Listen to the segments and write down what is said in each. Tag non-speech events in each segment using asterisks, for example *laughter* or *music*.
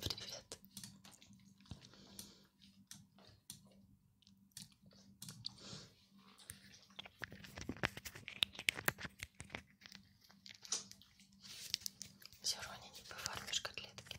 Привет. Все равно не пофармишь котлетки.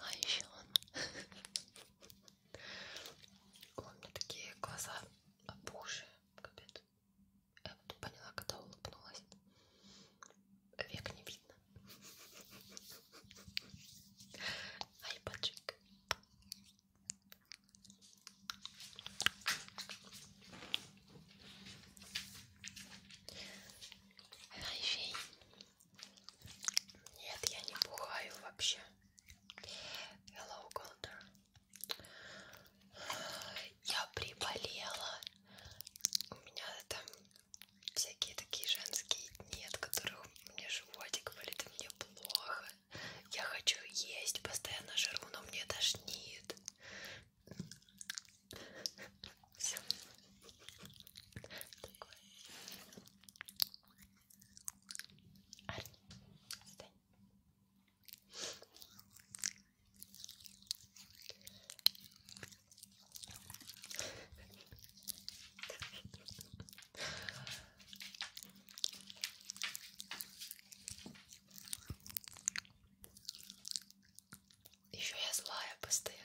А еще он. Он на такие глаза опухшие, капец. Я вот поняла, когда улыбнулась. Век не видно. Ай, пачек. Hi, Shane. Нет, я не бухаю вообще. Hello, Golder. Я приболела. У меня там всякие такие женские дни, от которых мне животик болит, и мне плохо. Я хочу есть, постоянно жру, но мне тошнит. Все. Такое. Арни, отстань. Еще я злая постоянно.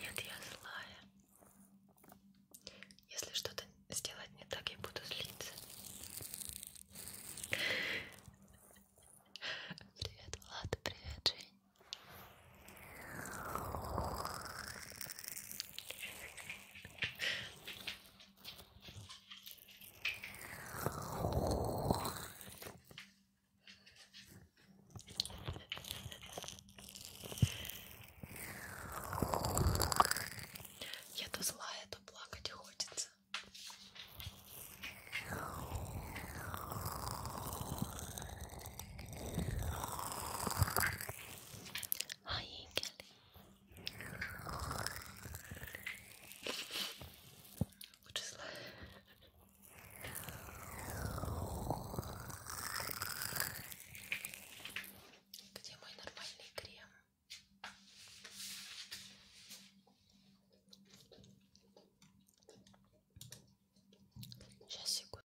Нет, я злая. Если что-то сделать не так, я буду злиться. Привет, Влад, привет, Жень. Я то злая, то плакать хочется. Ай, Лучше зла. Где мой нормальный крем? Сейчас секунду.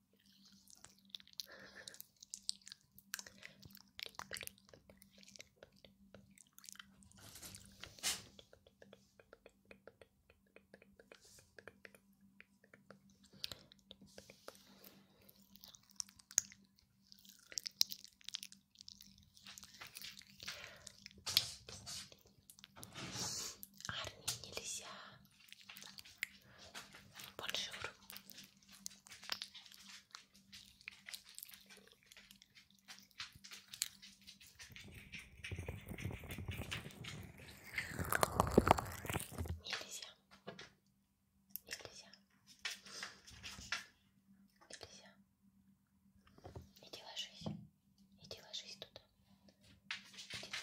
Арни нельзя Бонжур. Нельзя. Нельзя. Нельзя. Иди ложись. Иди ложись туда. Где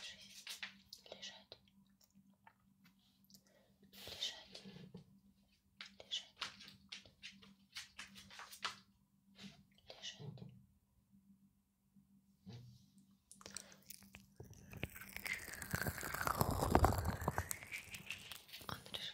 жизнь? Лежать. Лежать. Лежать. Лежать. Он пришел.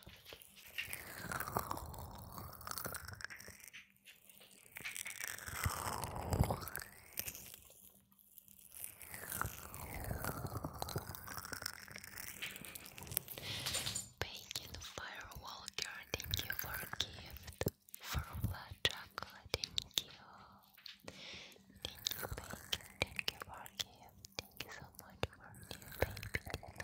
Bacon Firewalker, thank you for a gift. For Vlad Chocolate, thank you. Thank you, Bacon, thank you for a gift. Thank you so much for a gift, baby.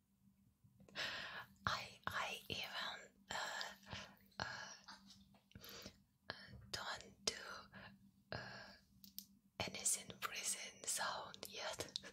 I I even uh, uh, don't do uh, anything breathing sound yet. *laughs*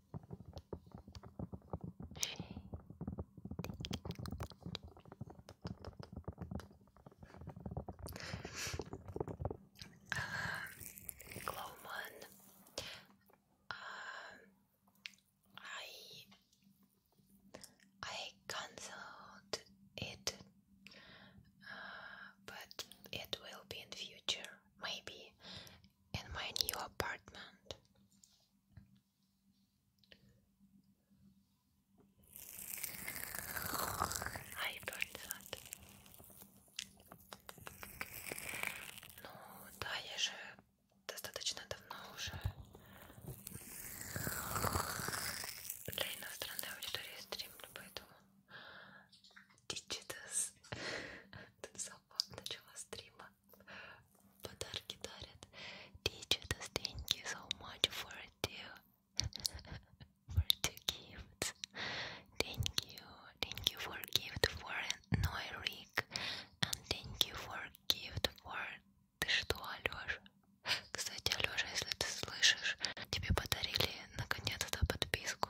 um, I I cancelled it, uh, but it will be in future, maybe in my new apartment. I burned that. Ну да, я же достаточно давно уже для иностранной аудитории стримлю, поэтому Digitus Тут сама начала стрима. Подарки дарят. Teachers, thank you so much for two, *laughs* for two gifts. Thank you, thank you for gift for Noirik, and thank you for gift for. Ты что, Алёша? Кстати, Алёша, если ты слышишь, тебе подарили наконец-то подписку.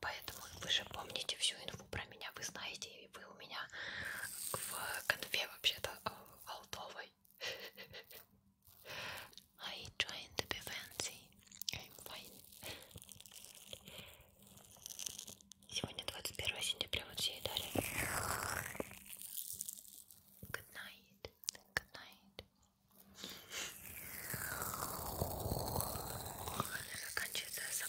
Поэтому вы же помните всю инфу про меня, вы знаете, и вы у меня в конфе вообще-то э, алтовой. *laughs* I trying to be fancy. I'm fine. Сегодня 21 сентября, вот все и далее. Good night. Good night. Она заканчивается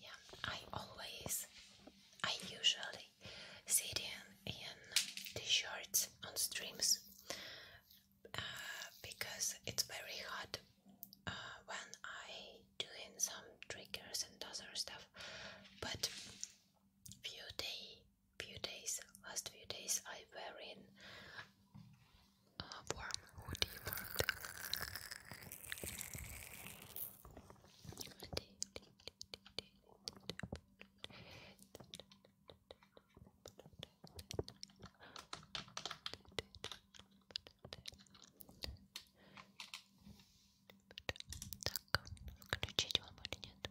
Yeah, I always, I usually sit in in t-shirts on streams uh, because it's very hot uh, when I doing some triggers and other stuff, but few day, few days, last few days, I wearing in uh, warm hoodie Так, включить вам или нет?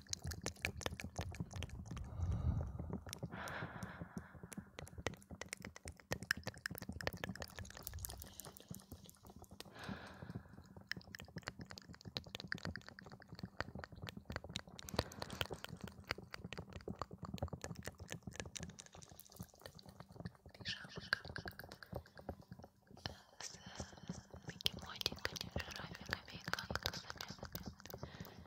с бегемотиками, жирафиками и кактусами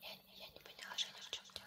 Я, я не поняла, Женя, в чем дело.